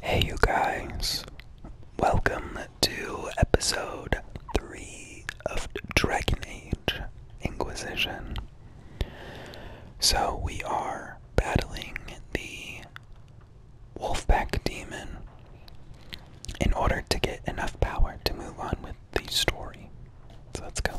Hey, you guys, welcome to episode 3 of Dragon Age Inquisition. So, we are battling the Wolfpack Demon in order to get enough power to move on with the story. So, let's go.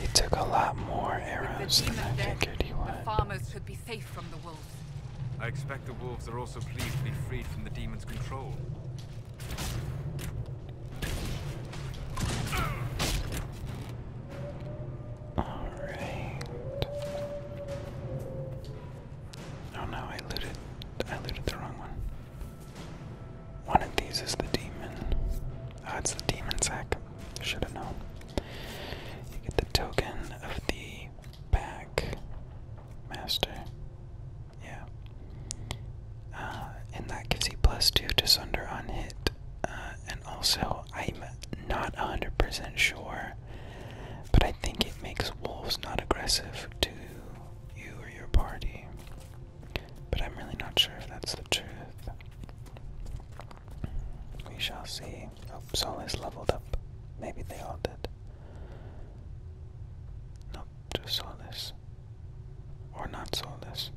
He took a lot more arrows than I figured he would. The farmers could be safe from the wolves. I expect the wolves are also pleased to be freed from the demon's control. All right. Oh no, I looted. I looted the wrong one. One of these is the demon. Oh, it's the demon sack. Should have known. You get the token of the back master. Yeah. Uh, and that gives you plus two to sunder on hit. Uh, and also, I'm not 100% sure, but I think it makes wolves not aggressive too you or your party. But I'm really not sure if that's the truth. We shall see. Oh, Solis leveled up. Maybe they all did. Nope, just Solis. Or not Solis.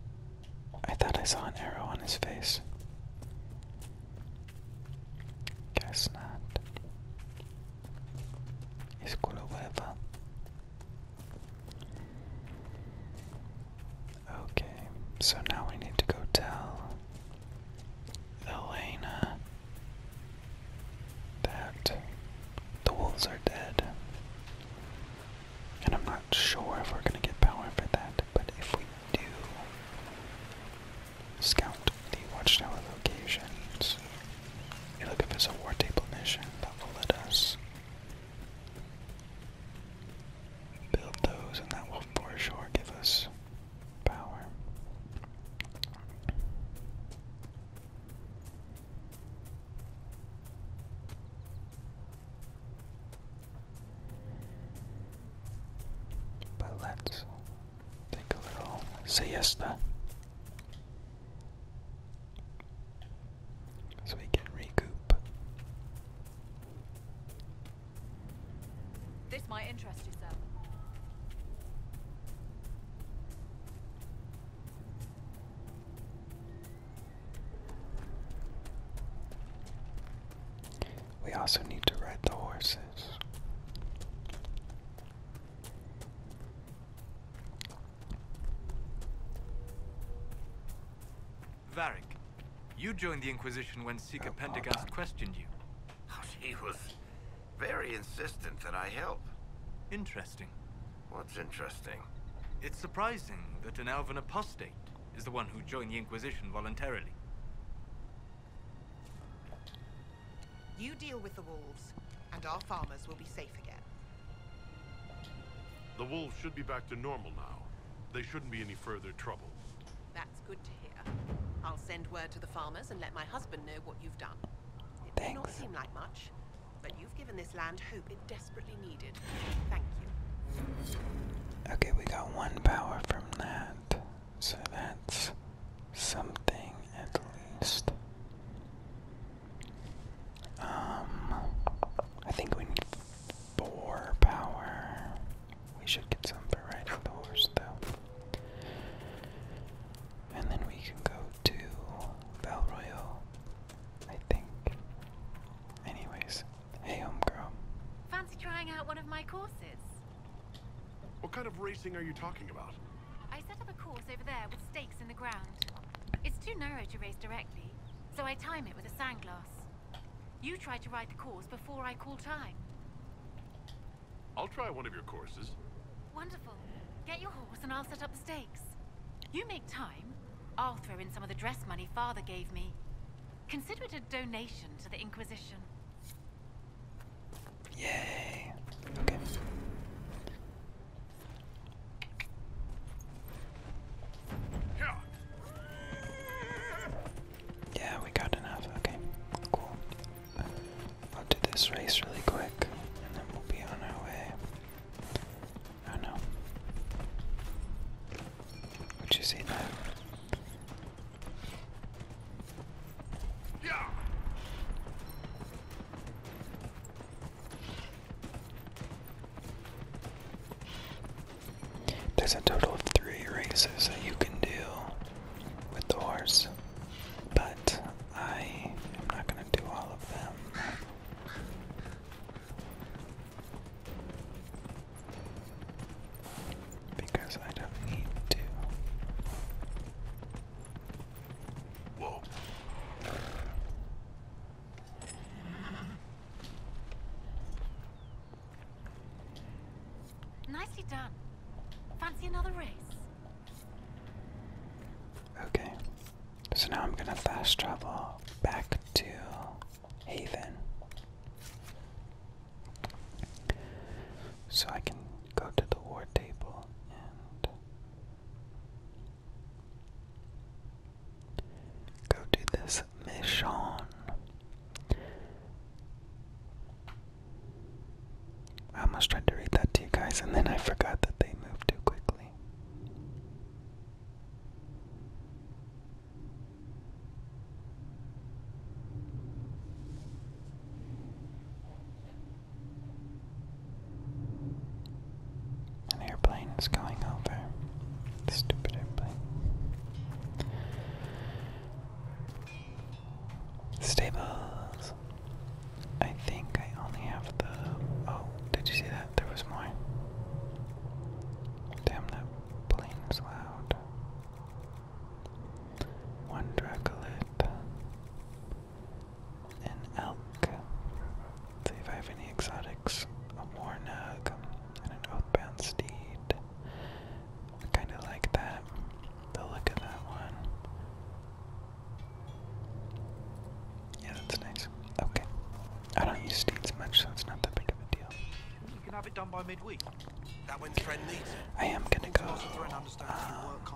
I thought I saw an arrow on his face. Guess not. Is Kulueva Okay, so now we need to go tell Elena that the wolves are dead. And I'm not sure if we're going to get power for that, but if we do, scout the watchtower locations you look, at this war table mission that will let us build those, and that will for sure give us power. But let's take a little siesta so we can recoup. This might interest you, sir. We also need to ride the horses. Varric, you joined the Inquisition when Seeker oh, Pendergast questioned you. Oh, he was very insistent that I help. Interesting. What's interesting? It's surprising that an Elven apostate is the one who joined the Inquisition voluntarily. You deal with the wolves, and our farmers will be safe. The wolves should be back to normal now. They shouldn't be any further trouble. That's good to hear. I'll send word to the farmers and let my husband know what you've done. It Thanks. may not seem like much, but you've given this land hope it desperately needed. Thank you. Okay, we got one power from that. So that's something at least. Um, I think we need four power. We should get some for riding though. And then we can go to Val Royal, I think. Anyways, hey, homegirl. Fancy trying out one of my courses? What kind of racing are you talking about? I set up a course over there with stakes in the ground. It's too narrow to race directly, so I time it with a sandglass. You try to ride the course before I call time. I'll try one of your courses. Wonderful. Get your horse and I'll set up the stakes. You make time, I'll throw in some of the dress money father gave me. Consider it a donation to the Inquisition. Yay. Okay. Yeah, we got enough. Okay, cool. I'll do this race really quick and then we'll be on our way. Oh no. Would you see that? There's a total of three races that you can do with the horse, but I am not going to do all of them. Because I don't need to. Nicely done. Fancy another race? Okay. So now I'm gonna fast travel back to Haven. So I can go to the war table and Go do this mission. I almost tried to read that to you guys, and then I forgot that they moved too quickly. An airplane is going over. Stupid airplane. Stables. I think I only have the. Oh, did you see that? There was more. Damn, that plane is loud. One dracolet an elk. See if I have any exotics. A war nag and an oathbound steed. I kind of like that. The look of that one. Yeah, that's nice. Okay. I don't use steeds much, so it's not that big of a deal. You can have it done by midweek. That when friend needs I am gonna go. Um,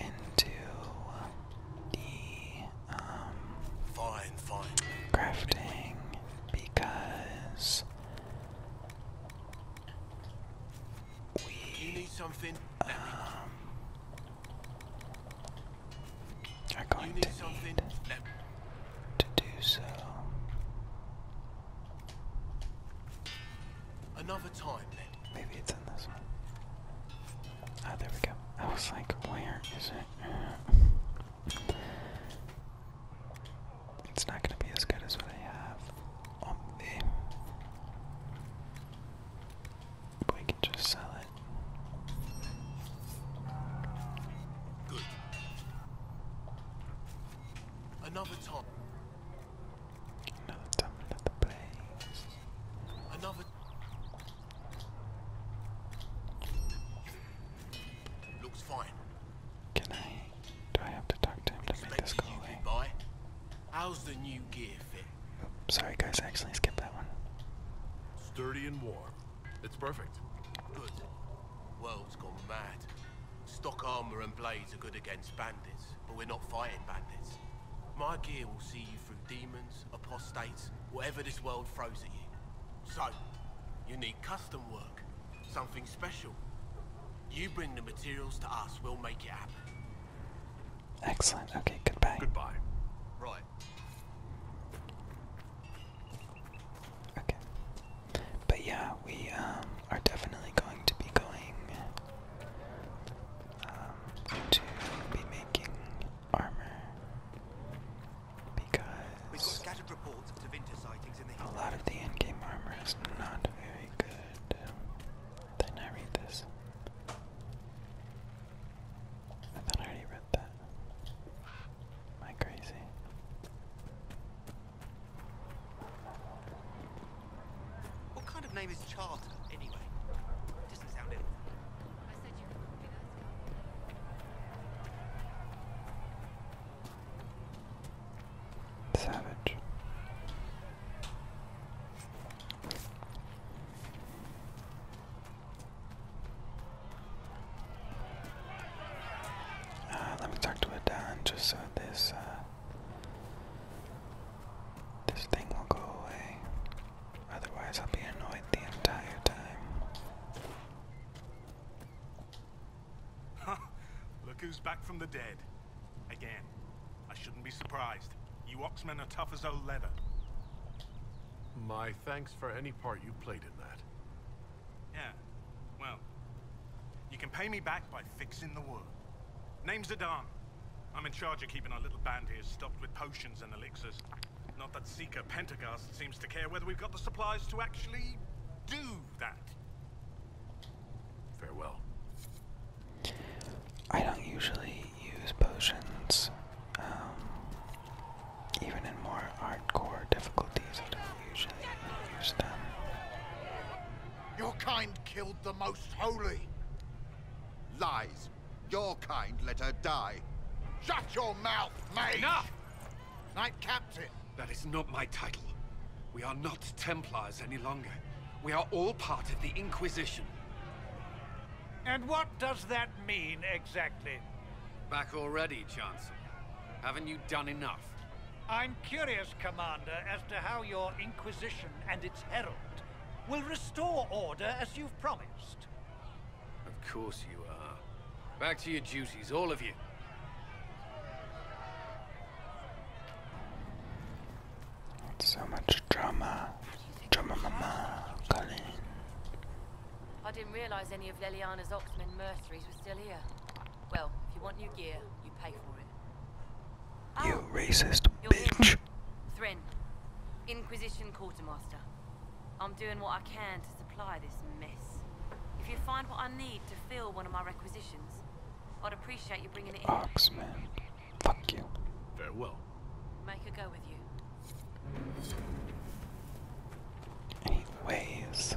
into the um, fine, fine. crafting because we you need something. Um, are going to need to do so. Another time, Maybe it's in this one. Ah, there we go. I was like, where is it? it's not going to be as good as what I have on We can just sell it. Good. Another time. Another time, another place. Looks fine. Can I? Do I have to talk to him to make this go away? How's the new gear fit? Oh, sorry, guys. actually skipped that one. Sturdy and warm. It's perfect. Good. World's gone mad. Stock armor and blades are good against bandits, but we're not fighting bandits. My gear will see you through demons, apostates, whatever this world throws at you. So, you need custom work, something special. You bring the materials to us, we'll make it happen. Excellent. Okay, goodbye. Goodbye. Right. Okay. But yeah, we um, are definitely going to be going um, to be making armor because a lot of the in-game armor is not very good. Did I read this? I thought I already read that. Am I crazy? What kind of name is Charter, anyway? doesn't sound ill. Savage. Uh, let me talk to Adan just so this uh, this thing will go away. Otherwise, I'll be annoyed the entire time. Look who's back from the dead. Again. I shouldn't be surprised. You Oxmen are tough as old leather. My thanks for any part you played in that. Yeah, well, you can pay me back by fixing the world. Name's Adan. I'm in charge of keeping our little band here stocked with potions and elixirs. Not that Seeker Pentagast seems to care whether we've got the supplies to actually do that. Farewell. I don't usually use potions, um, even in more hardcore difficulties. I don't usually use them. Your kind killed the most holy. Lies your kind let her die. Shut your mouth, mate! Enough! Knight Captain! That is not my title. We are not Templars any longer. We are all part of the Inquisition. And what does that mean, exactly? Back already, Chancellor. Haven't you done enough? I'm curious, Commander, as to how your Inquisition and its herald will restore order as you've promised. Of course you are. Back to your duties, all of you. So much drama. Drama mama, Colin. I didn't realise any of Leliana's Oxman mercenaries were still here. Well, if you want new gear, you pay for it. You ah, racist bitch. Thrin, Inquisition Quartermaster. I'm doing what I can to supply this mess. If you find what I need to fill one of my requisitions, I'd appreciate you bringing it in. Oxman. Fuck you. Very well. Make a go with you. Anyways.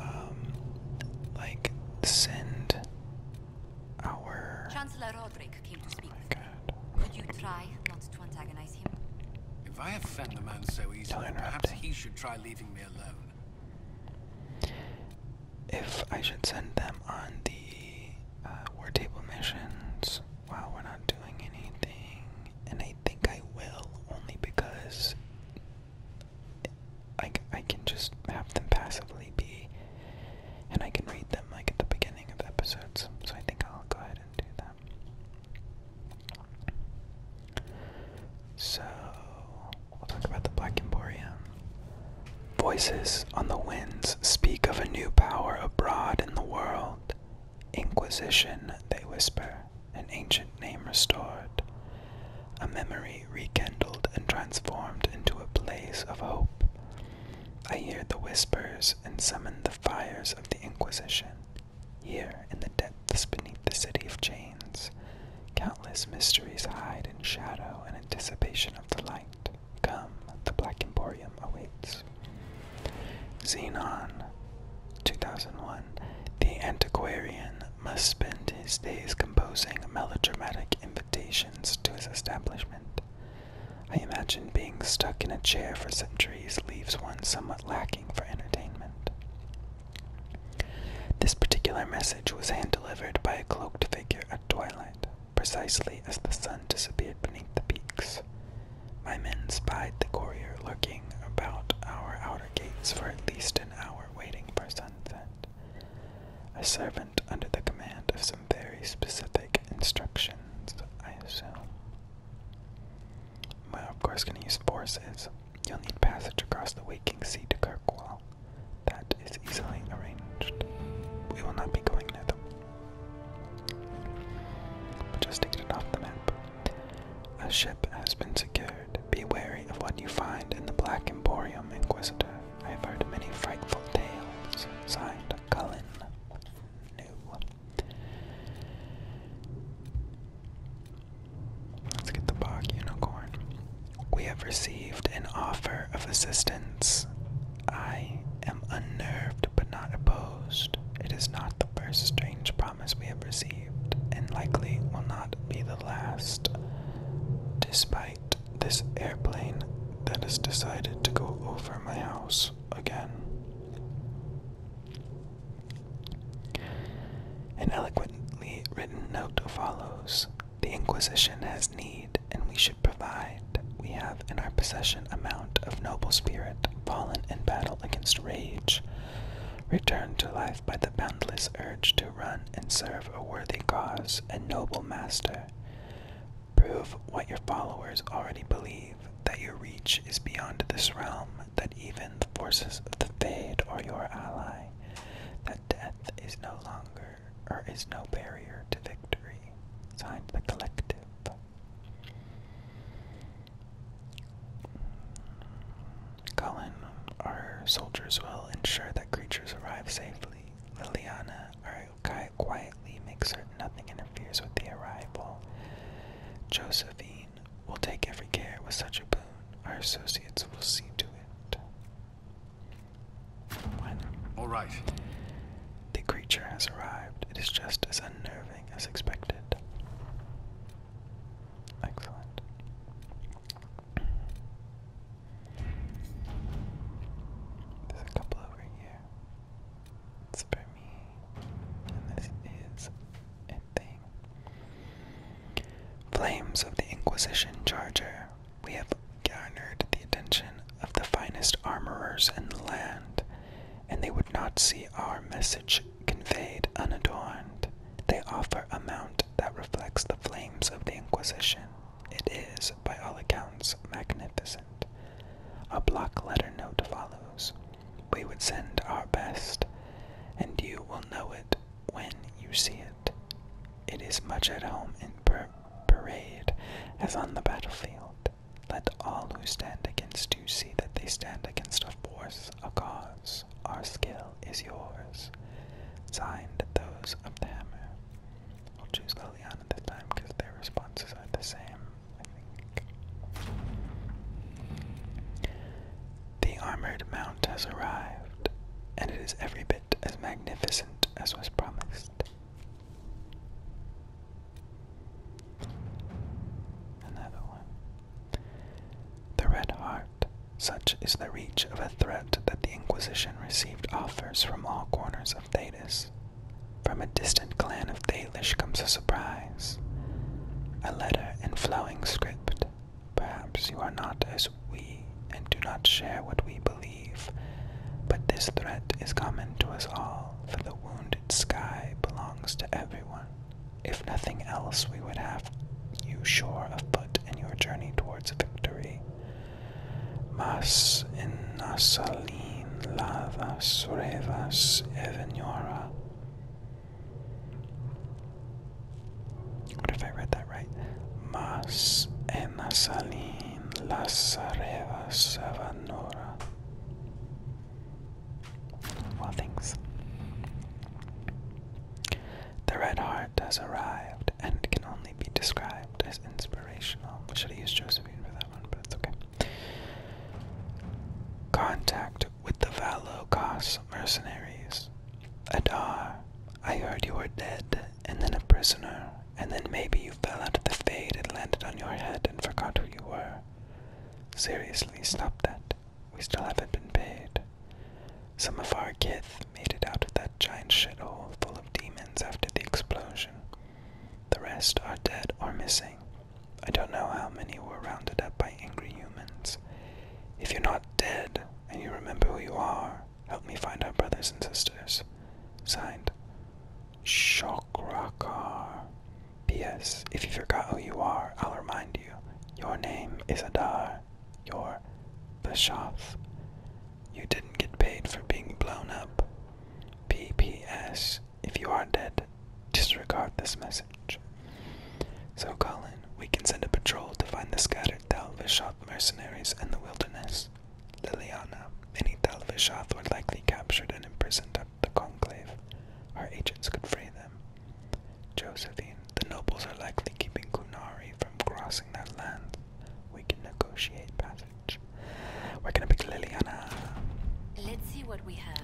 um, like send our. Chancellor Roderick came to speak. with oh my Could you try not to antagonize him? If I offend the man so easily, perhaps he should try leaving me alone. If I should send them on the uh, war table missions while we're not doing anything, and I think I will only because I, I can just have them passively be, and I can read them like at the beginning of episodes. So I think I'll go ahead and do that. So we'll talk about the Black Emporium. Voices on the winds speak of a new power abroad in the world. Inquisition, they whisper an ancient name restored, a memory rekindled and transformed into a blaze of hope. I hear the whispers and summon the fires of the Inquisition. Here, in the depths beneath the city of chains, countless mysteries hide in shadow in anticipation of the light. Come, the Black Emporium awaits. Xenon, 2001. The Antiquarian must spend his days composing melodramatic invitations to his establishment. I imagine being stuck in a chair for centuries leaves one somewhat lacking for entertainment. This particular message was hand delivered by a cloaked figure at twilight, precisely as the sun disappeared beneath the peaks. My men spied the courier lurking about our outer gates for at least an hour waiting for sunset. A servant under the command of some very specific instructions, I assume. We're of course going to use forces. You'll need passage across the waking sea to Kirkwall. That is easily arranged. We will not be going there, them. just to get it off the map. A ship has been secured. Be wary of what you find in the Black Emporium, Inquisitor. I have heard many frightful tales. Signed, Cullen. New. Let's get the bog unicorn. We have received an offer of assistance. I am unnerved but not opposed. It is not the first strange promise we have received, and likely will not be the last. Despite this airplane that has decided to go over my house again. An eloquently written note follows The Inquisition has need, and we should provide. We have in our possession a mount of noble spirit fallen in battle against rage. Return to life by the boundless urge to run and serve a worthy cause and noble master. Prove what your followers already believe that your reach is beyond this realm, that even the forces of the Fade are your ally, that death is no longer or is no barrier to victory. Signed the collective. Colin, our soldiers will ensure that creatures arrive safely. Liliana, our yokai, quietly makes certain nothing interferes with the arrival. Josephine will take every care with such a boon. Our associates will see to it. All right. The creature has arrived. It is just as unnerving as expected. Excellent. There's a couple over here. It's for me. And this is a thing. Flames of the Inquisition Charger. We have garnered the attention of the finest armorers in the land, and they would not see our message conveyed unadorned, they offer a mount that reflects the flames of the Inquisition. It is, by all accounts, magnificent. A block letter note follows. We would send our best, and you will know it when you see it. It is much at home in parade as on the battlefield. Let all who stand against you see that they stand against a force, a cause our skill is yours. Signed, those of the hammer. We'll choose Liliana this time because their responses are the same, The armored mount has arrived, and it is every bit as magnificent as was promised. Another one. The red heart. Such is the reach of a threat that the Inquisition received offers from all corners of Thetis. From a distant clan of Thalish comes a surprise. A letter in flowing script. Perhaps you are not as we and do not share what we believe, but this threat is common to us all, for the wounded sky belongs to everyone. If nothing else, we would have you sure of foot in your journey towards victory. Mas en nasalin lavas revas evenora. What if I read that right? Mas en nasalin las revas evenora. Well, thanks. The Red Heart has arrived and can only be described as inspirational. I should have used Josephine for that one, but it's okay. Contact with the Valokos mercenaries. Adar, ah, I heard you were dead and then a prisoner, and then maybe you fell out of the fade and landed on your head and forgot who you were. Seriously, stop that. We still haven't been paid. Some of our kith made it out of that giant shit hole full of demons after the explosion. The rest are dead or missing. I don't know how many were rounded up by angry humans. If you're not dead and you remember who you are, help me find our brothers and sisters. Signed, Shokrakar. P.S. If you forgot who you are, I'll remind you. Your name is Adar. Your, are Bischoff. You didn't get paid for being blown up. PPS. If you are dead, disregard this message. So, Colin, we can send a patrol to find the scattered Tal mercenaries in the wilderness. Liliana, any Tal Vishoth were likely captured and imprisoned at the conclave. Our agents could free them. Josephine, the nobles are likely keeping Kunari from crossing their land. We can negotiate passage. We're gonna pick Liliana. Let's see what we have.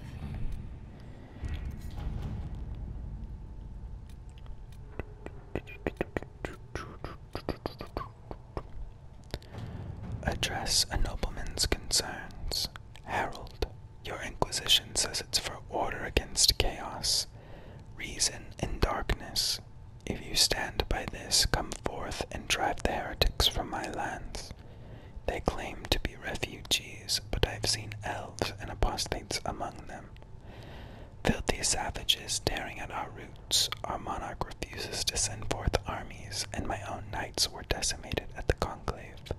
Address a nobleman's concerns. Harold, your inquisition says it's for order against chaos reason in darkness. If you stand by this, come forth and drive the heretics from my lands. They claim to be refugees, but I have seen elves and apostates among them. Filthy savages tearing at our roots, our monarch refuses to send forth armies, and my own knights were decimated at the conclave.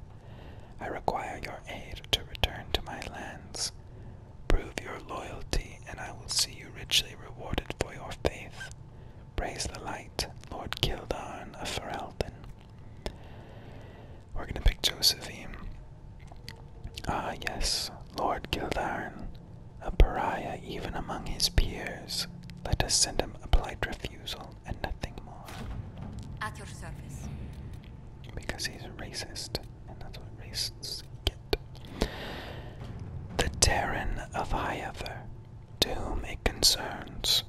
I require your aid to return to my lands. Prove your loyalty, and I will see you richly rewarded for your faith. Praise the light, Lord Kildarn of Ferelden. We're gonna pick Josephine. Ah, yes, Lord Kildarn, a pariah even among his peers. Let us send him a polite refusal and nothing more. At your service. Because he's a racist. The Terran of high to whom it concerns.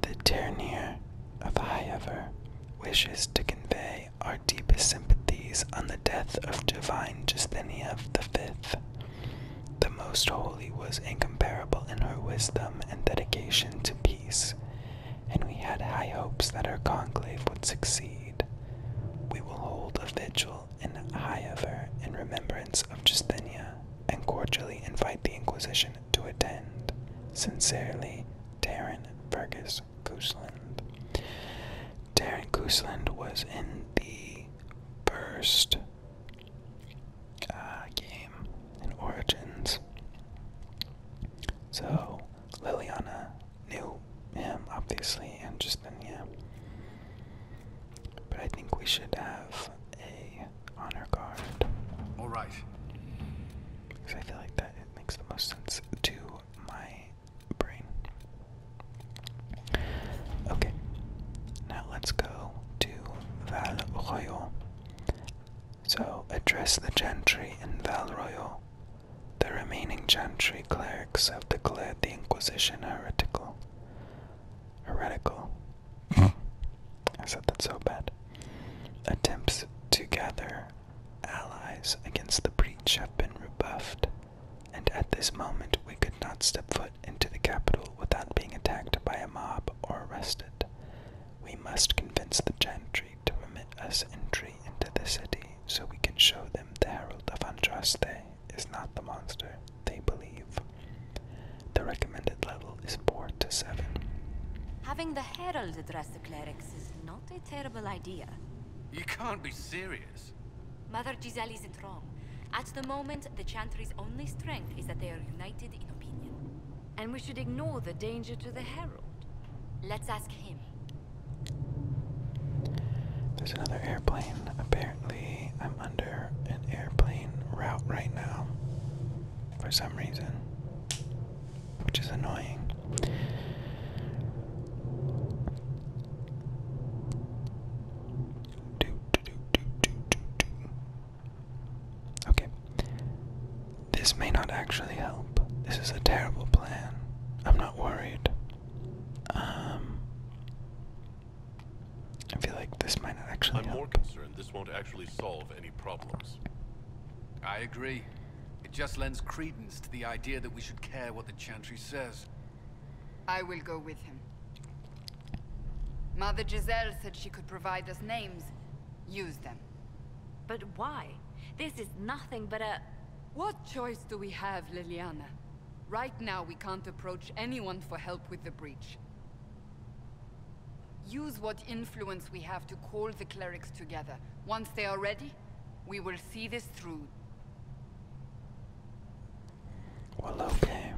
The Ternier of high wishes to convey our deepest sympathies on the death of divine the Fifth. The Most Holy was incomparable in her wisdom and dedication to peace and we had high hopes that our conclave would succeed. We will hold a vigil in Hyaver in remembrance of Justinia, and cordially invite the Inquisition to attend. Sincerely, Darren Fergus Gooseland. Darren Gooseland was in the first uh, game in Origins. So Liliana knew him, obviously, and just then, yeah. But I think we should have a honor guard. All right. Because I feel like that it makes the most sense to my brain. Okay. Now let's go to Val Royal. So address the gentry in Val Royal the remaining gentry clerics have declared the Inquisition heretical. Heretical. Hmm. I said that so bad. Attempts to gather allies against the breach have been rebuffed, and at this moment we could not step foot into the capital without being attacked by a mob or arrested. We must convince the gentry to permit us entry into the city so we can show them the herald of Andraste is not the monster they believe. The recommended level is 4 to 7. Having the herald address the clerics is not a terrible idea. You can't be serious. Mother Giselle isn't wrong. At the moment, the Chantry's only strength is that they are united in opinion. And we should ignore the danger to the Herald. Let's ask him. There's another airplane. Apparently, I'm under an airplane route right now. For some reason. Which is annoying. Okay, this may not actually help. This is a terrible plan. I'm not worried. Um, I feel like this might not actually. I'm more concerned this won't actually solve any problems. I agree. It just lends credence to the idea that we should care what the Chantry says. I will go with him. Mother Giselle said she could provide us names, Use them. But why? This is nothing but a... What choice do we have, Liliana? Right now, we can't approach anyone for help with the breach. Use what influence we have to call the clerics together. Once they are ready, we will see this through. okay.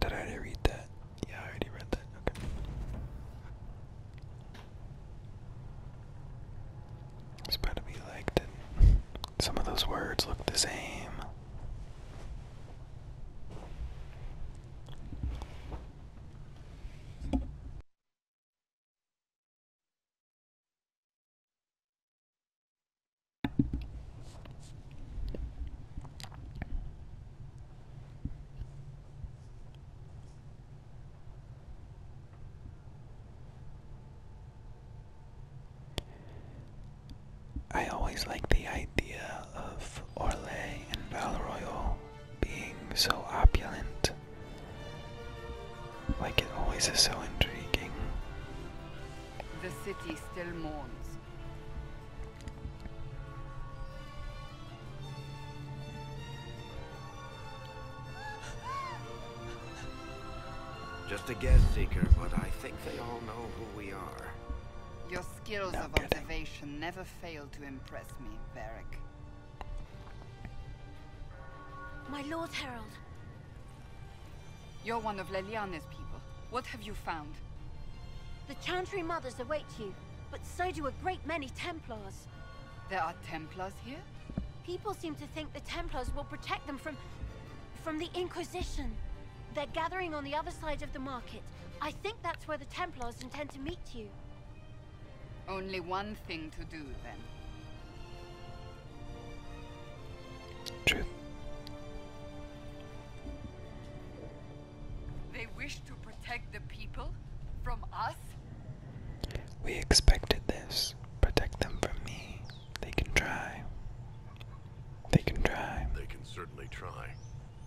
Did I read that? Yeah, I already read that. Okay. It's about to be Some of those words look the same. I always like the idea of Orlais and Valroyal being so opulent. Like it always is so intriguing. The city still mourns. Just a guess seeker, but I think they all know who we are. Your skills of observation never fail to impress me, Varric. My Lord Herald. You're one of Leliane's people. What have you found? The Chantry Mothers await you but so do a great many Templars. There are Templars here? People seem to think the Templars will protect them from... from the Inquisition. They're gathering on the other side of the market. I think that's where the Templars intend to meet you. Only one thing to do, then. Truth. They wish to protect the people from us? We expected this. Protect them from me. They can try. They can try. They can certainly try.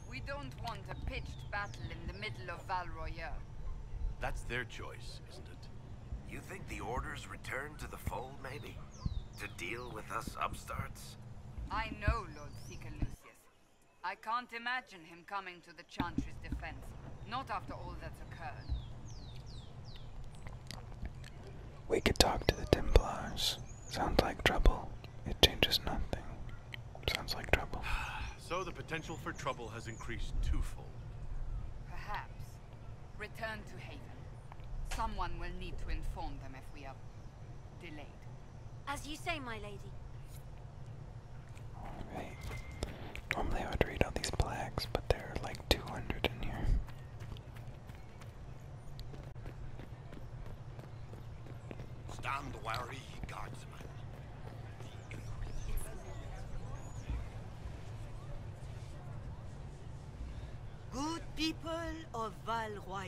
We don't want a pitched battle in the middle of Val Royale. That's their choice, isn't it? You think the Order's returned to the fold, maybe? To deal with us upstarts? I know, Lord Seeker Lucius. I can't imagine him coming to the Chantry's defense. Not after all that's occurred. We could talk to the Templars. Sounds like trouble. It changes nothing. Sounds like trouble. So the potential for trouble has increased twofold. Perhaps. Return to Haven. Someone will need to inform them if we are delayed. As you say, my lady. Normally I would read all these plaques, but there are like 200 in here. Stand wary, guardsmen. Good people of Val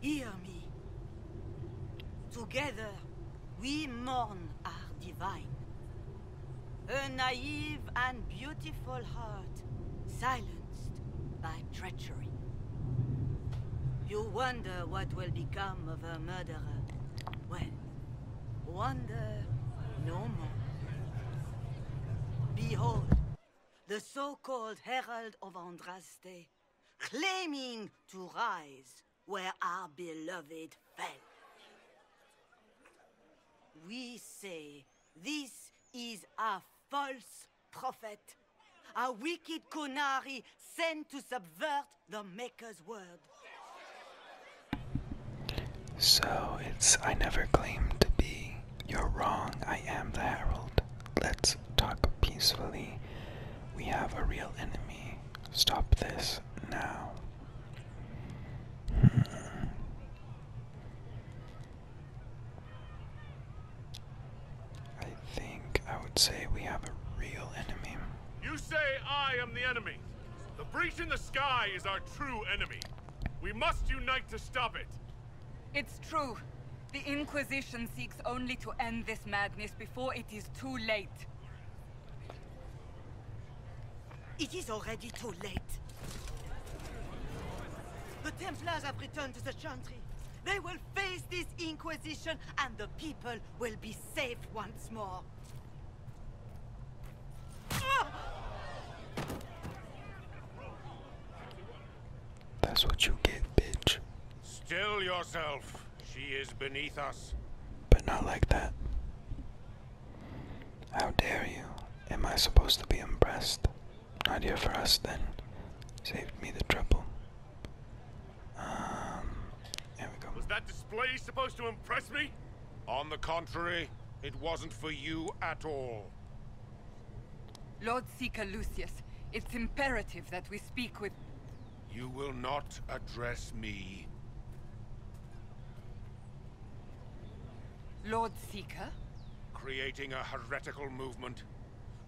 hear me. Together, we mourn our divine. A naive and beautiful heart, silenced by treachery. You wonder what will become of her murderer. Well, wonder no more. Behold, the so-called Herald of Andraste claiming to rise where our beloved fell. We say this is a false prophet, a wicked Conari sent to subvert the Maker's word. So it's I never claimed to be. You're wrong, I am the herald. Let's talk peacefully. We have a real enemy. Stop this now. Hmm. I think I would say we have a real enemy. You say I am the enemy. The breach in the sky is our true enemy. We must unite to stop it. It's true. The Inquisition seeks only to end this madness before it is too late. It is already too late. The Templars have returned to the Chantry. They will face this Inquisition, and the people will be safe once more. That's what you get, bitch. Still yourself. She is beneath us. But not like that. How dare you? Am I supposed to be impressed? Not here for us then. Saved me the trouble. Um, Was that display supposed to impress me? On the contrary, it wasn't for you at all. Lord Seeker Lucius, it's imperative that we speak with... You will not address me. Lord Seeker? Creating a heretical movement.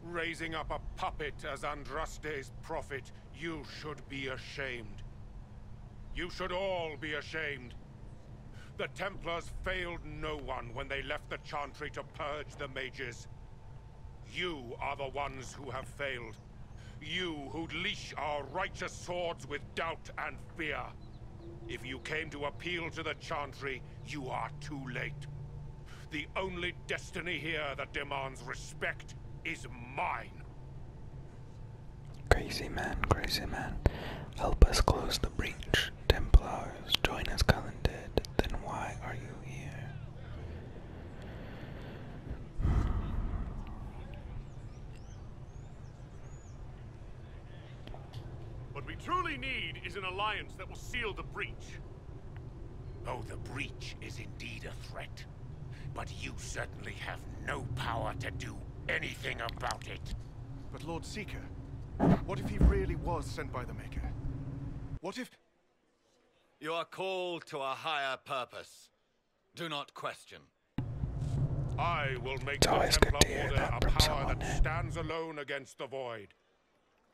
Raising up a puppet as Andraste's prophet. You should be ashamed. You should all be ashamed. The Templars failed no one when they left the Chantry to purge the mages. You are the ones who have failed. You who leash our righteous swords with doubt and fear. If you came to appeal to the Chantry, you are too late. The only destiny here that demands respect is mine. Crazy man, crazy man. Help us close the breach. Templars, join us, Cullen did. Then why are you here? What we truly need is an alliance that will seal the breach. Oh, the breach is indeed a threat. But you certainly have no power to do anything about it. But Lord Seeker, what if he really was sent by the Maker? What if... You are called to a higher purpose. Do not question. I will make it's the Templar Order a power that stands alone against the void.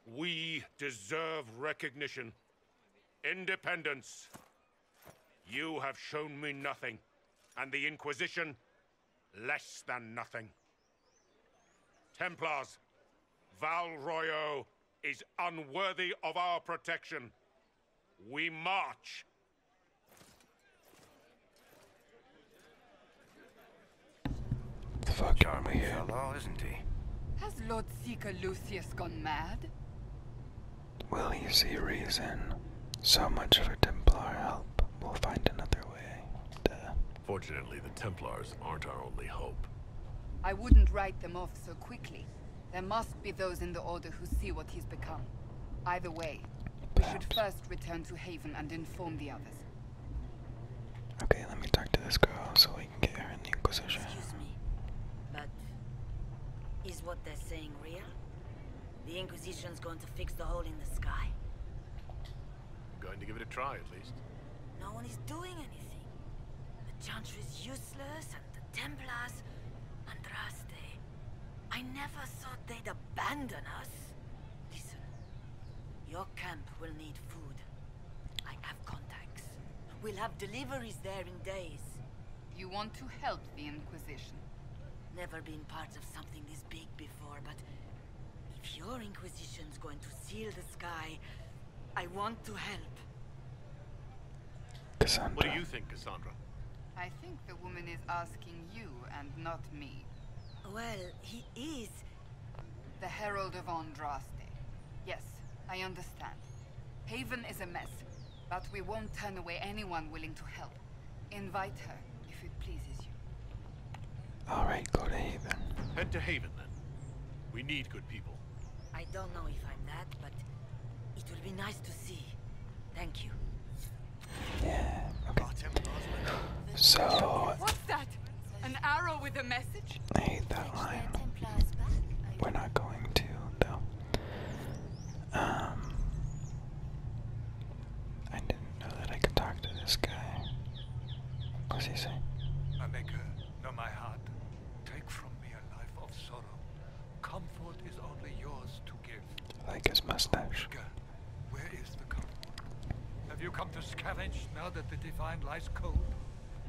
We deserve recognition. Independence. You have shown me nothing, and the Inquisition less than nothing. Templars, Val is unworthy of our protection. We march. The Fuck army here. Hello, isn't he? Has Lord Seeker Lucius gone mad? Will he see reason? So much for Templar help. We'll find another way. Fortunately, the Templars aren't our only hope. I wouldn't write them off so quickly. There must be those in the Order who see what he's become. Either way, we should first return to Haven and inform the others. Okay, let me talk to this girl so we can get her in the Inquisition. Excuse me, but is what they're saying real? The Inquisition's going to fix the hole in the sky. Going to give it a try, at least. No one is doing anything. The is useless the Templars, Andraste. I never thought they'd abandon us. Listen, your camp will need food. I have contacts. We'll have deliveries there in days. You want to help the Inquisition? Never been part of something this big before, but if your Inquisition's going to seal the sky, I want to help. Cassandra. What do you think, Cassandra? I think the woman is asking you and not me. Well, he is. The Herald of Andraste. Yes, I understand. Haven is a mess, but we won't turn away anyone willing to help. Invite her, if it pleases you. Alright, go to Haven. Head to Haven, then. We need good people. I don't know if I'm that, but it will be nice to see. Thank you. Yeah. Okay. So. What's that? An arrow with a message? I hate that line. We're not going to though. Um. I didn't know that I could talk to this guy. What's he say? Maker, know my heart. Take from me of sorrow. Comfort is only yours to give. like his mustache. Have you come to scavenge now that the divine lies cold?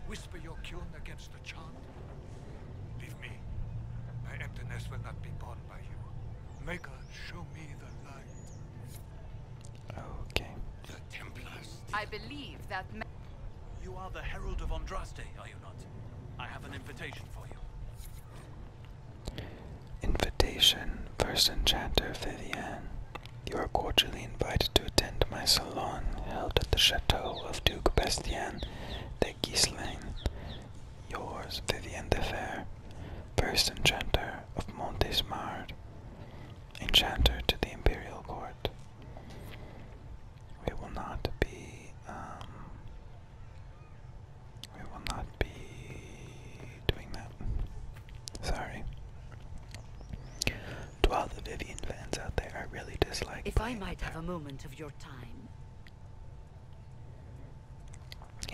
Whisper your cune against the chant? Leave me. My emptiness will not be borne by you. Maker, show me the light. The Templars I believe that... You are the Herald of Andraste, are you not? I have an invitation for you. Invitation, First Enchanter Vivienne. You are cordially invited to attend my salon, held at the chateau of Duke Bastien de Gislaine. Yours, Vivienne de Fer, First Enchanter of Montesmard, Enchanter to the Imperial Court. We will not be, we um, will not be doing that. Sorry. To all the Vivian fans out there, I really dislike. If I might have a moment of your time.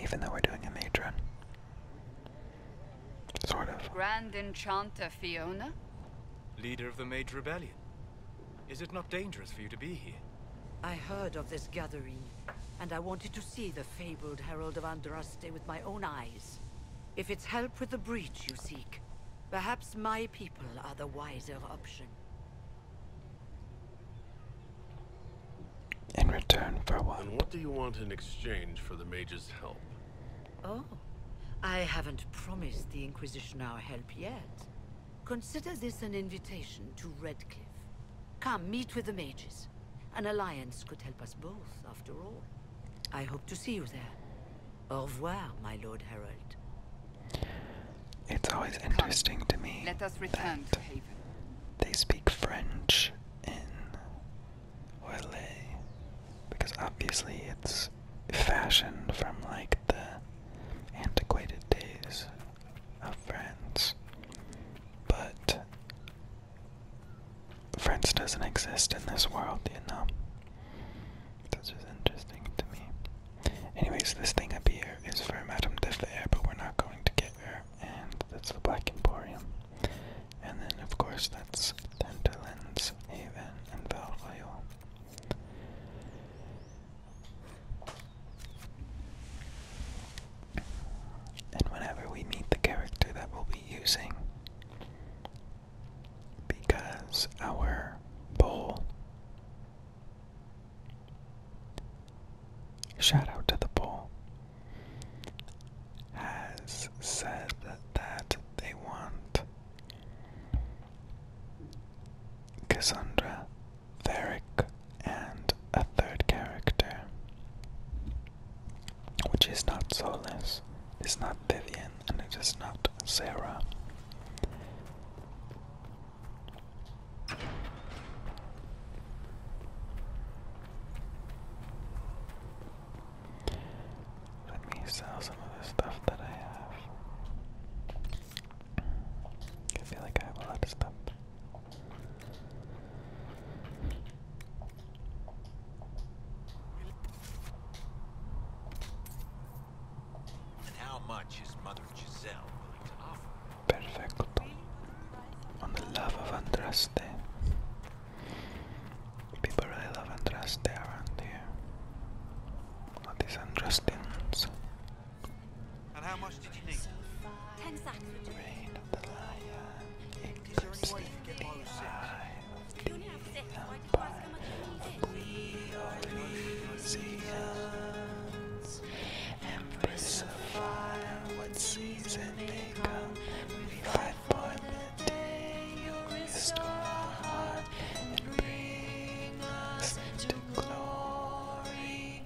Even though we're doing a mage Sort of. Grand Enchanter Fiona? Leader of the Mage Rebellion. Is it not dangerous for you to be here? I heard of this gathering, and I wanted to see the fabled Herald of Andraste with my own eyes. If it's help with the breach you seek, perhaps my people are the wiser option. In return for what? And what do you want in exchange for the mage's help? Oh, I haven't promised the Inquisition our help yet. Consider this an invitation to Redcliffe. Come, meet with the mages. An alliance could help us both, after all. I hope to see you there. Au revoir, my Lord Harold. It's always interesting to me Let us return to Haven. they speak French in Orlais, because obviously it's fashioned from like the antiquated days of friends. But friends doesn't exist in this world, you know. That's just interesting to me. Anyways, this thing up here is for Madame de but we're not going to get there. And that's the Black Emporium. And then, of course, that's Dantelin's Haven and Val and whenever we meet the character that we'll be using, because our bowl. Shout out to the poll. Has said that they want Cassandra, Theric, and a third character, which is not Solace, is not Vivian, and it is not Sarah. Let me sell some of the stuff that I have. I feel like I have a lot of stuff. how much is Mother Giselle willing to offer? Perfecto. On the love of Andraste. People really love Andraste around here. What is Justin's? And how much did you need? of the lion, eclipse the the empire of the Elysians. Embrace of fire, what season may come, we fight for the day you restore bring us to glory.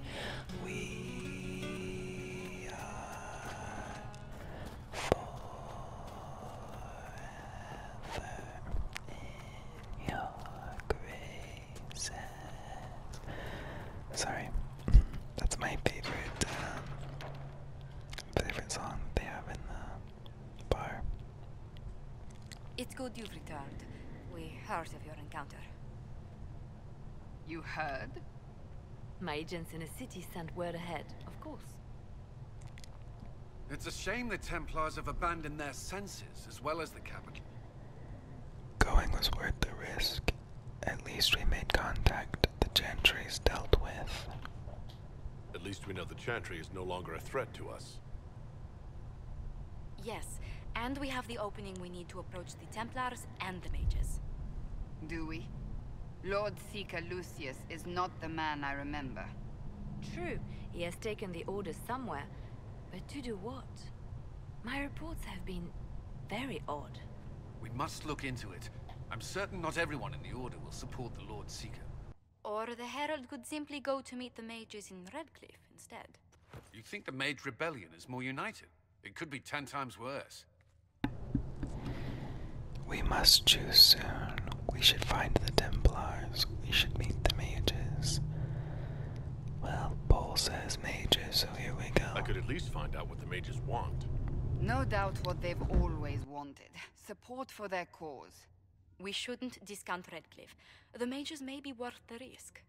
We are forever in your graces. Sorry, that's my favorite. Uh, favorite song they have in the Bye. It's good you've returned. We heard of your encounter. You heard? My agents in the city sent word ahead, of course. It's a shame the Templars have abandoned their senses, as well as the capital. Going was worth the risk. At least we made contact. The Chantry's dealt with. At least we know the Chantry is no longer a threat to us. Yes, and we have the opening we need to approach the Templars and the mages. Do we? Lord Seeker Lucius is not the man I remember. True, he has taken the order somewhere, but to do what? My reports have been very odd. We must look into it. I'm certain not everyone in the Order will support the Lord Seeker. Or the Herald could simply go to meet the mages in Redcliffe instead. You think the Mage Rebellion is more united? It could be ten times worse. We must choose soon. We should find the Templars. We should meet the mages. Well, Paul says mages, so here we go. I could at least find out what the mages want. No doubt what they've always wanted. Support for their cause. We shouldn't discount Redcliffe the mages may be worth the risk.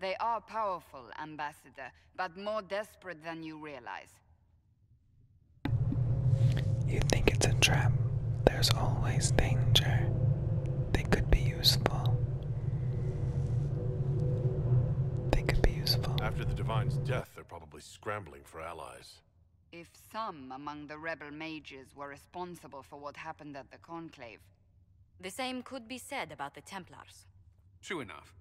They are powerful, Ambassador, but more desperate than you realize. You think it's a trap. There's always danger. They could be useful. They could be useful. After the Divine's death, they're probably scrambling for allies. If some among the rebel mages were responsible for what happened at the Conclave... The same could be said about the Templars. True enough.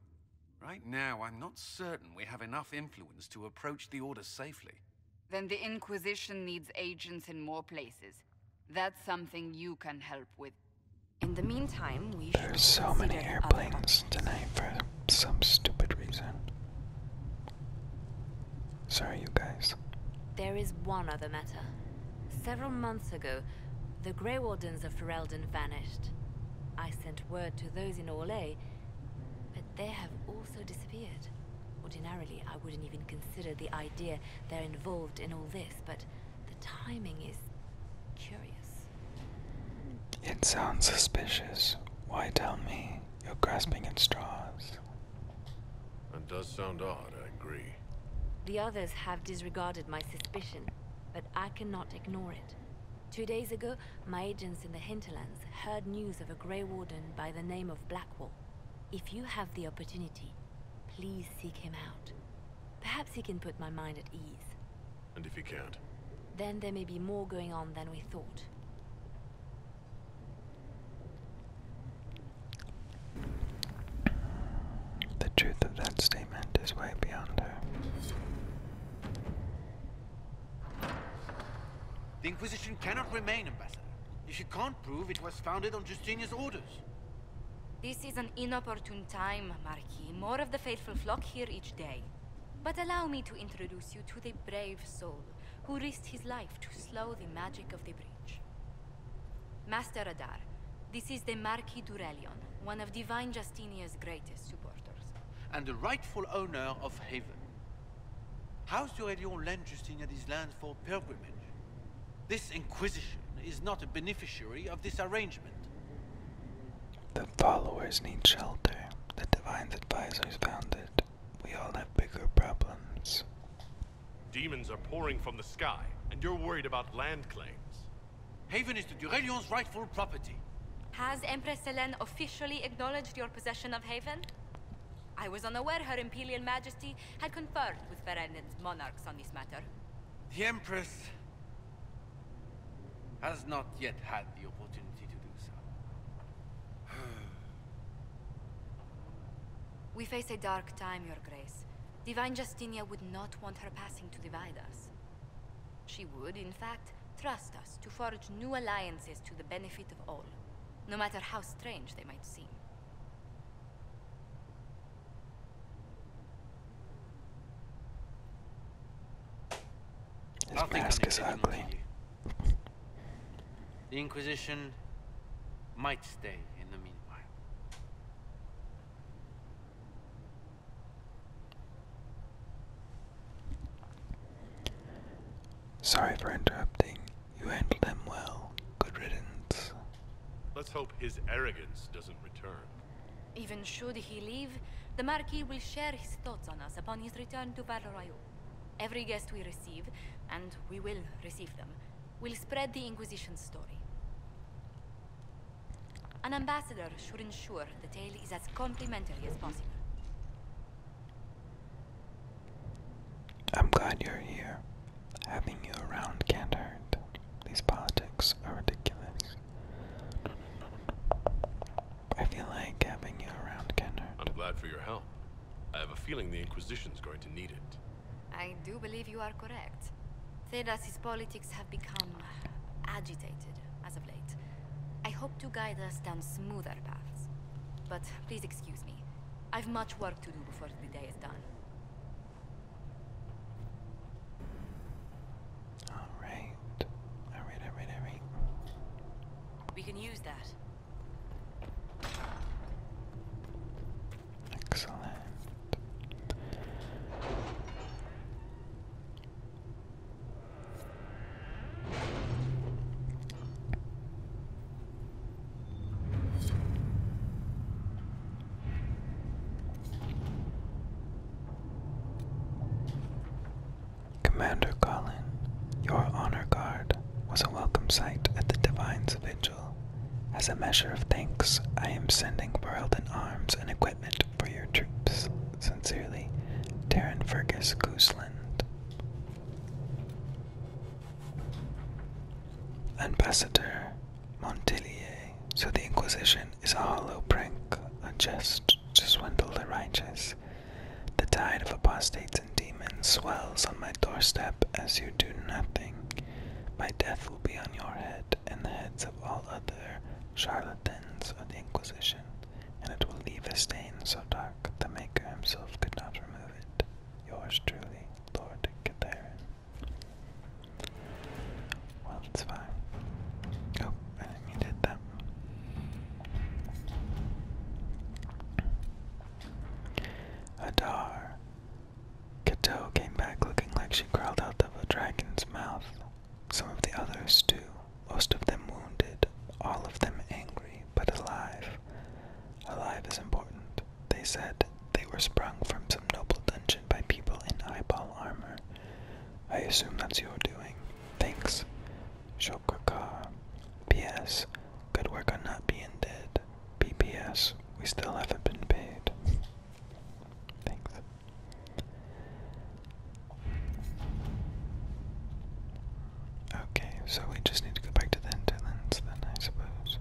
Right now, I'm not certain we have enough influence to approach the Order safely. Then the Inquisition needs agents in more places. That's something you can help with. In the meantime, we There's so many airplanes tonight for some stupid reason. Sorry, you guys. There is one other matter. Several months ago, the Grey Wardens of Ferelden vanished. I sent word to those in Orlais, but they have also disappeared. Ordinarily, I wouldn't even consider the idea they're involved in all this, but the timing is curious. It sounds suspicious. Why tell me? You're grasping at straws. That does sound odd, I agree. The others have disregarded my suspicion, but I cannot ignore it. Two days ago, my agents in the hinterlands heard news of a Grey Warden by the name of Blackwall. If you have the opportunity, please seek him out. Perhaps he can put my mind at ease. And if he can't? Then there may be more going on than we thought. The truth of that statement is way beyond her. The Inquisition cannot remain, Ambassador, if you can't prove it was founded on Justinian's orders. This is an inopportune time, Marquis. More of the faithful flock here each day. But allow me to introduce you to the brave soul who risked his life to slow the magic of the bridge. Master Adar, this is the Marquis Durelion, one of Divine Justinia's greatest supporters. And the rightful owner of Haven. House Durelion lent Justinia these land for pilgrimage. This Inquisition is not a beneficiary of this arrangement. The followers need shelter. The Divine's advisors found it. We all have bigger problems. Demons are pouring from the sky, and you're worried about land claims. Haven is the Durelion's rightful property. Has Empress Selene officially acknowledged your possession of Haven? I was unaware her Imperial Majesty had conferred with Ferendin's monarchs on this matter. The Empress has not yet had the opportunity to do so. We face a dark time, Your Grace. Divine Justinia would not want her passing to divide us. She would, in fact, trust us to forge new alliances to the benefit of all, no matter how strange they might seem. His mask is ugly. The Inquisition stay in the meanwhile. Sorry for interrupting. You handled him well. Good riddance. Let's hope his arrogance doesn't return. Even should he leave, the Marquis will share his thoughts on us upon his return to Valrayo. Every guest we receive, and we will receive them, will spread the Inquisition story. An ambassador should ensure the tale is as complimentary as possible. I'm glad you're here. Having you around can't hurt. These politics are ridiculous. I feel like having you around can't I'm glad for your help. I have a feeling the Inquisition's going to need it. I do believe you are correct. Thedas's politics have become agitated as of late. I hope to guide us down smoother paths. But please excuse me. I've much work to do before the day is done. Alright. Alright, alright, alright. We can use that. Excellent. Commander Colin, your honor guard was a welcome sight at the Divine's vigil. As a measure of thanks, I am sending world in arms and equipment for your troops. Sincerely, Darren Fergus Gooseland. Ambassador Montelier. So the Inquisition is a hollow prank, a jest to swindle the righteous. The tide of apostates and demon swells on my doorstep as you do nothing. My death will be on your head and the heads of all other charlatans of the Inquisition, and it will leave a stain so dark the Maker himself could not remove it. Yours truly, Lord Catharin. Well, it's fine. Oh, I did that. Adar, Kato came back looking like she crawled out of a dragon's mouth. Some of the others, too, most of them wounded, all of them angry, but alive. Alive is important. They said they were sprung from some noble dungeon by people in eyeball armor. I assume that's your doing. Thanks. Shokaka. P.S. Good work on not being dead. PPS, we still haven't been paid. Thanks. Okay, so we just need to go back to the hinterlands then, I suppose.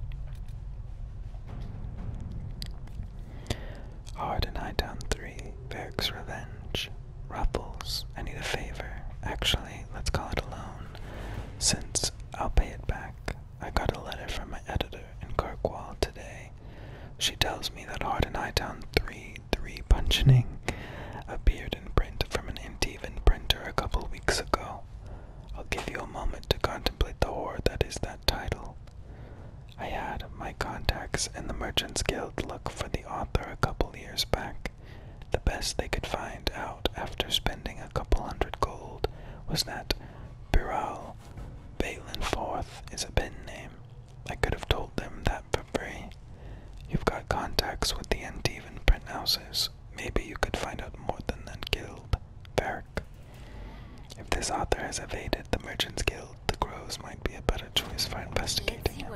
Hard and High 3, Varric's Revenge, Ruffles, I need a favor. Actually, let's call it a loan, since I'll pay it back I got a letter from my editor in Kirkwall today. She tells me that Hard and Hightown 3 3 Punching appeared in print from an Intivan printer a couple weeks ago. I'll give you a moment to contemplate the horror that is that title. I had my contacts in the Merchants Guild look for the author a couple years back. The best they could find out after spending a couple hundred gold was that Biral Balinforth is a pen name. I could have told them that for free. You've got contacts with the Antivan print Maybe you could find out more than that guild, Varric. If this author has evaded the Merchants Guild, the Groves might be a better choice for investigating him.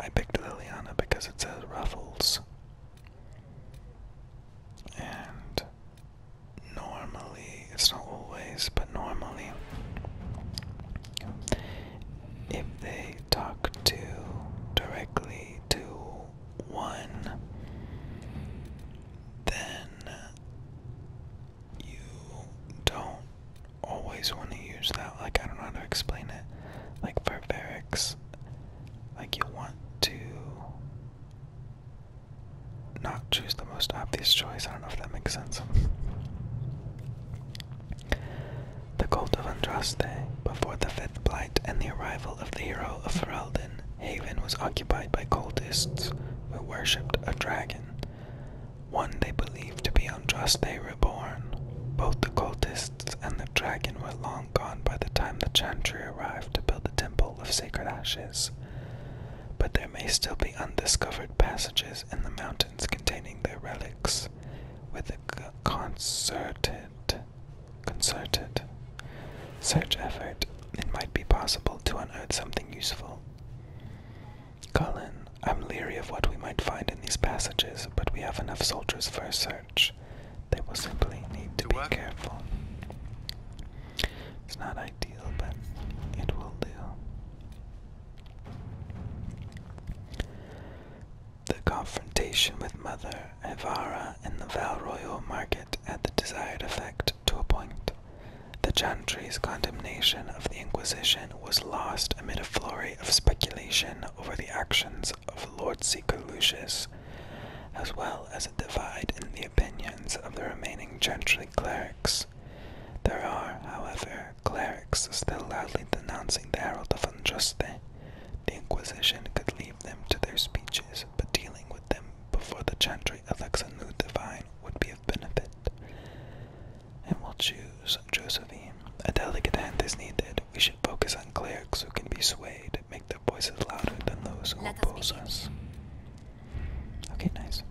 I picked Liliana because it says Ruffles. And normally, it's not always, but normally, if they talk to directly to one, then you don't always want to use that. Like, I don't know how to explain it. Like, for Varix, like you want to not choose the most obvious choice. I don't know if that makes sense. the Cult of Andraste, before the Fifth Blight and the arrival of the hero of Ferelden, Haven was occupied by cultists who worshipped a dragon, one they believed to be Andraste reborn. Both the cultists and the Dragon were long gone by the time the Chantry arrived to build the Temple of Sacred Ashes, but there may still be undiscovered passages in the mountains containing their relics, with a concerted, concerted search effort. It might be possible to unearth something useful. Cullen, I'm leery of what we might find in these passages, but we have enough soldiers for a search. They will simply need to, be work. careful. It's not ideal, but it will do. The confrontation with Mother Evara in the Val Royal Market had the desired effect to a point. The Chantry's condemnation of the Inquisition was lost amid a flurry of speculation over the actions of Lord Seeker as well as a divide in the opinions of the remaining gentry clerics. There are, however, clerics still loudly denouncing the Herald of Unjuste. The Inquisition could leave them to their speeches, but dealing with them before the gentry elects a new divine would be of benefit. And we'll choose Josephine. A delicate hand is needed we should focus on clerics who can be swayed, make their voices louder than those who oppose us. Okay, nice.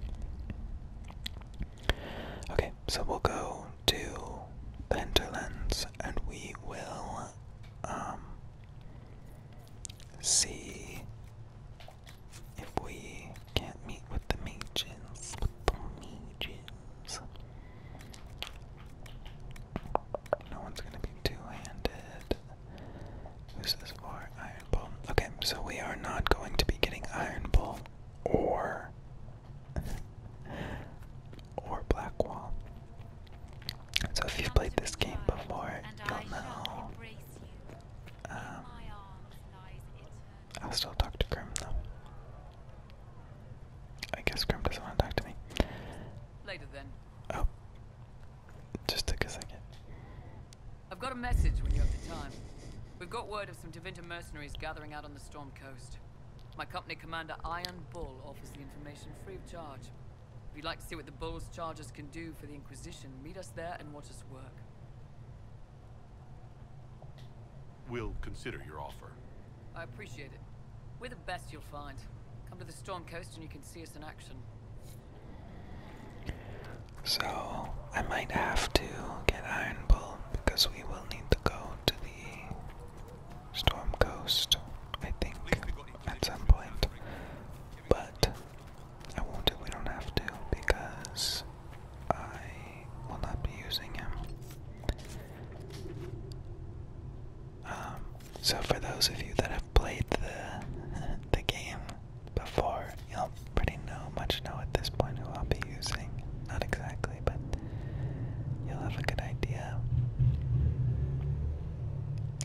Okay, so we'll go to the hinterlands and we will um, see if we can't meet with the mages. With the mages. No one's gonna be two-handed. Who's this for? Iron Bull. Okay, so we are not going to be getting Iron Bull or or Blackwall. So if you've played this game before, you'll know. Um, I'll still talk to Grim though. I guess Grim doesn't want to talk to me. Later then. Oh, just took a second. I've got a message when you have the time. We've got word of some Devinter mercenaries gathering out on the Storm Coast. My company commander, Iron Bull, offers the information free of charge. If you'd like to see what the Bull's charges can do for the Inquisition, meet us there and watch us work. We'll consider your offer. I appreciate it. We're the best you'll find. Come to the Storm Coast and you can see us in action. So, I might have to get Iron Bull because we will need to go to the Storm Coast, I think, at some point. But, I won't do, we don't have to because I will not be using him. Um, so for those of you that have played the the game before, you'll pretty know much know at this point who I'll be using. Not exactly, but you'll have a good idea.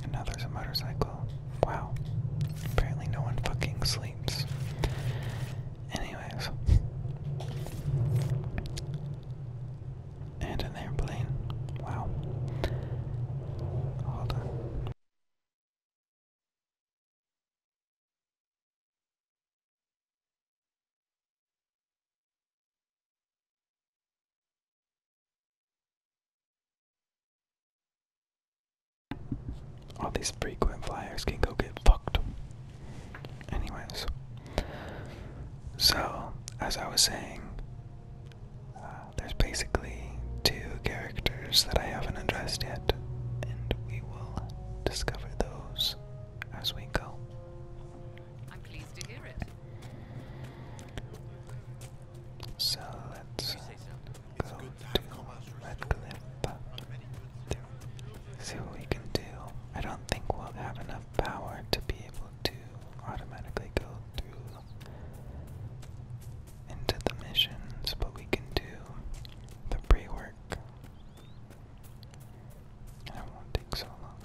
And now there's a motorcycle. Wow. Apparently no one fucking sleeps. Anyways. And an airplane. Wow. Hold on. All these frequent flyers can go get fucked. Anyways, so as I was saying, uh, there's basically two characters that I haven't addressed yet, and we will discover those as we go. I'm pleased to hear it. So let's go to Redcliffe. Uh, see what we can do. I don't think we'll have enough power to be able to automatically go through into the missions, but we can do the pre work. And it won't take so long.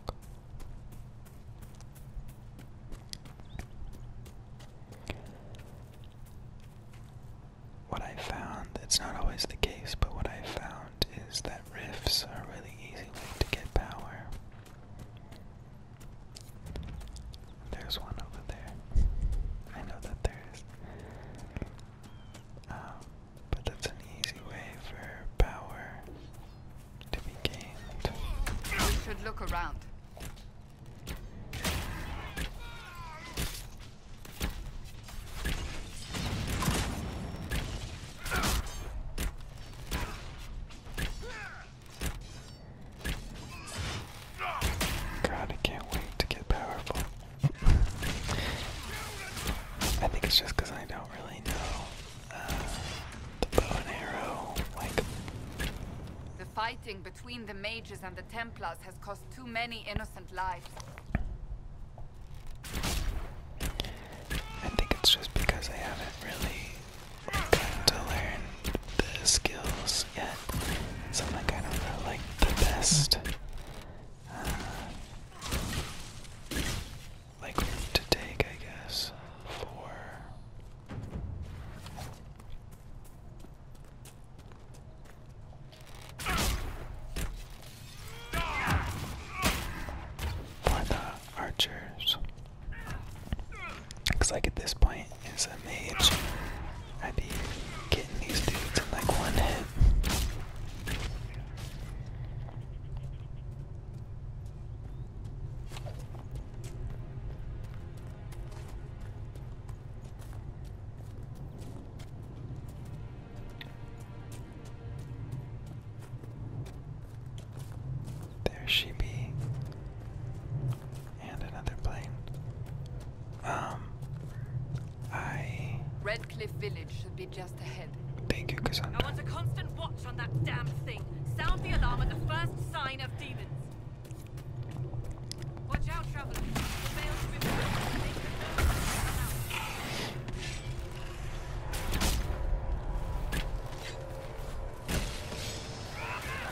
What I found, it's not always the case, but what I found is that rifts are a really easy way to get power. There's one over there. I know that there is. Um, but that's an easy way for power to be gained. We should look around. God, I can't wait to get powerful. I think it's just because I don't really know uh, the bow and arrow. Like the fighting between the mages and the Templars has cost too many innocent lives. I think it's just because I haven't really to learn the skills yet, so I'm like I do the best uh, like to take I guess for the archers. Looks like at this point, as a mage, I'd be getting these dudes in like one hit. There she be. And another plane. Um I Redcliffe Village should be just ahead. Thank you, Cassandra. I want a constant watch on that damn thing. Sound the alarm at the first sign of demons. Watch out, traveler.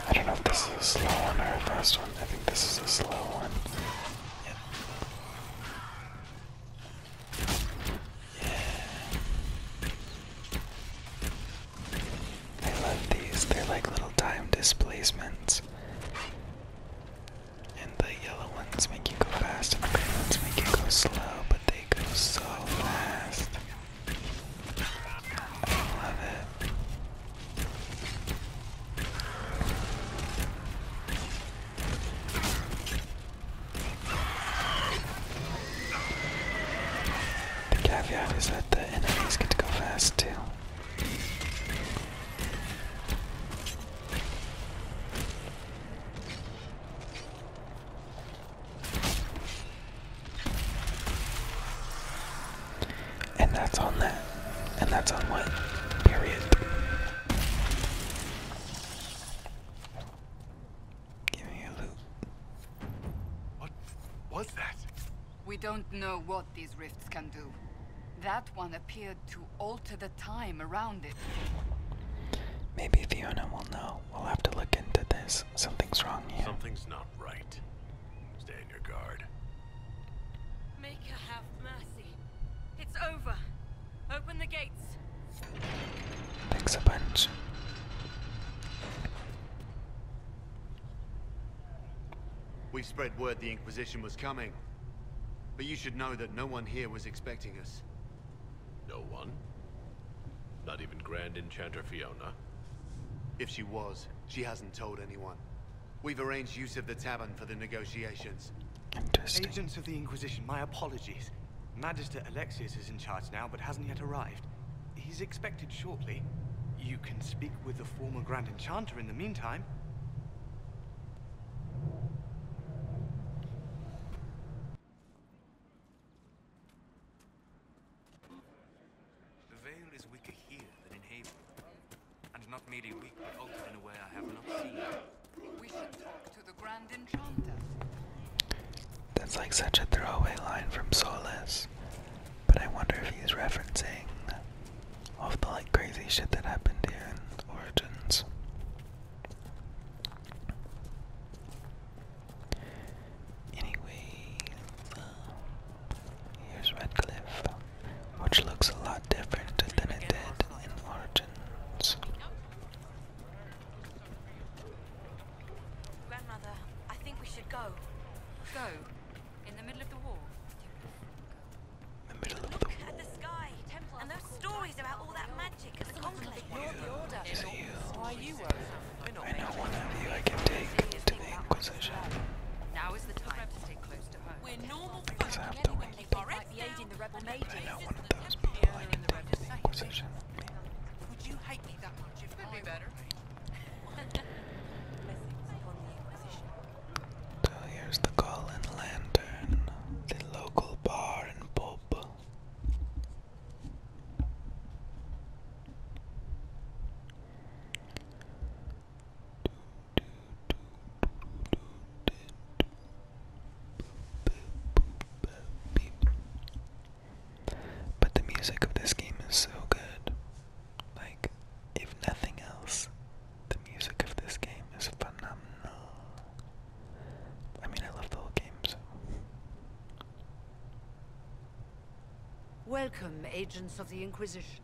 I don't know if this is a slow one or a fast one. I think this is a slow one. Yeah. I love these. They're like little time displacements. And the yellow ones make you go fast, and the green ones make you go slow, but they go so fast. The caveat is that the enemies get to go fast too. And that's on that. And that's on what? Period. Give me a loot. What was that? We don't know what these rifts can do. That one appeared to alter the time around it. Maybe Fiona will know we'll have to look into this. Something's wrong here. Something's not right. Stay on your guard. Make Maker, have mercy. It's over. Open the gates. Thanks a bunch. We spread word the Inquisition was coming. But you should know that no one here was expecting us. No one? Not even Grand Enchanter Fiona? If she was, she hasn't told anyone. We've arranged use of the tavern for the negotiations. Interesting. Agents of the Inquisition, my apologies. Magister Alexius is in charge now, but hasn't yet arrived. He's expected shortly. You can speak with the former Grand Enchanter in the meantime. The veil is weaker here than in Haven. And not merely weak, but altered in a way I have not seen. That's like such a throwaway line from Solace. But I wonder if he's referencing all of the like crazy shit that happened here in Origins. Anyway, uh, here's Redcliffe, which looks a lot different than it did in Origins. I think we should go. Go. In the middle of the war. In At the sky, and those stories about all that magic and the conclave. You're the order. Why you I know one of you I can take to the Inquisition. Now is the time to stay close to her. We're normal because I have to wait. I know one of those people I can take to the Inquisition. Would you hate me that much if I'd be better? So here's the Golden Lantern, the local bar and pub. But the music of this game is so good. Like, if nothing else, the music of this game is phenomenal. I mean, I love the whole game, so. Welcome, agents of the Inquisition.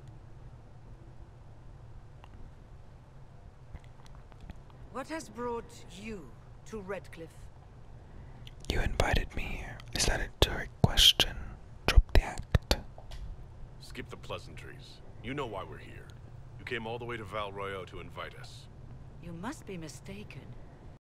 What has brought you to Redcliffe? You invited me here. Is that a direct question? Drop the act. Skip the pleasantries. You know why we're here. You came all the way to Valroyo to invite us. You must be mistaken.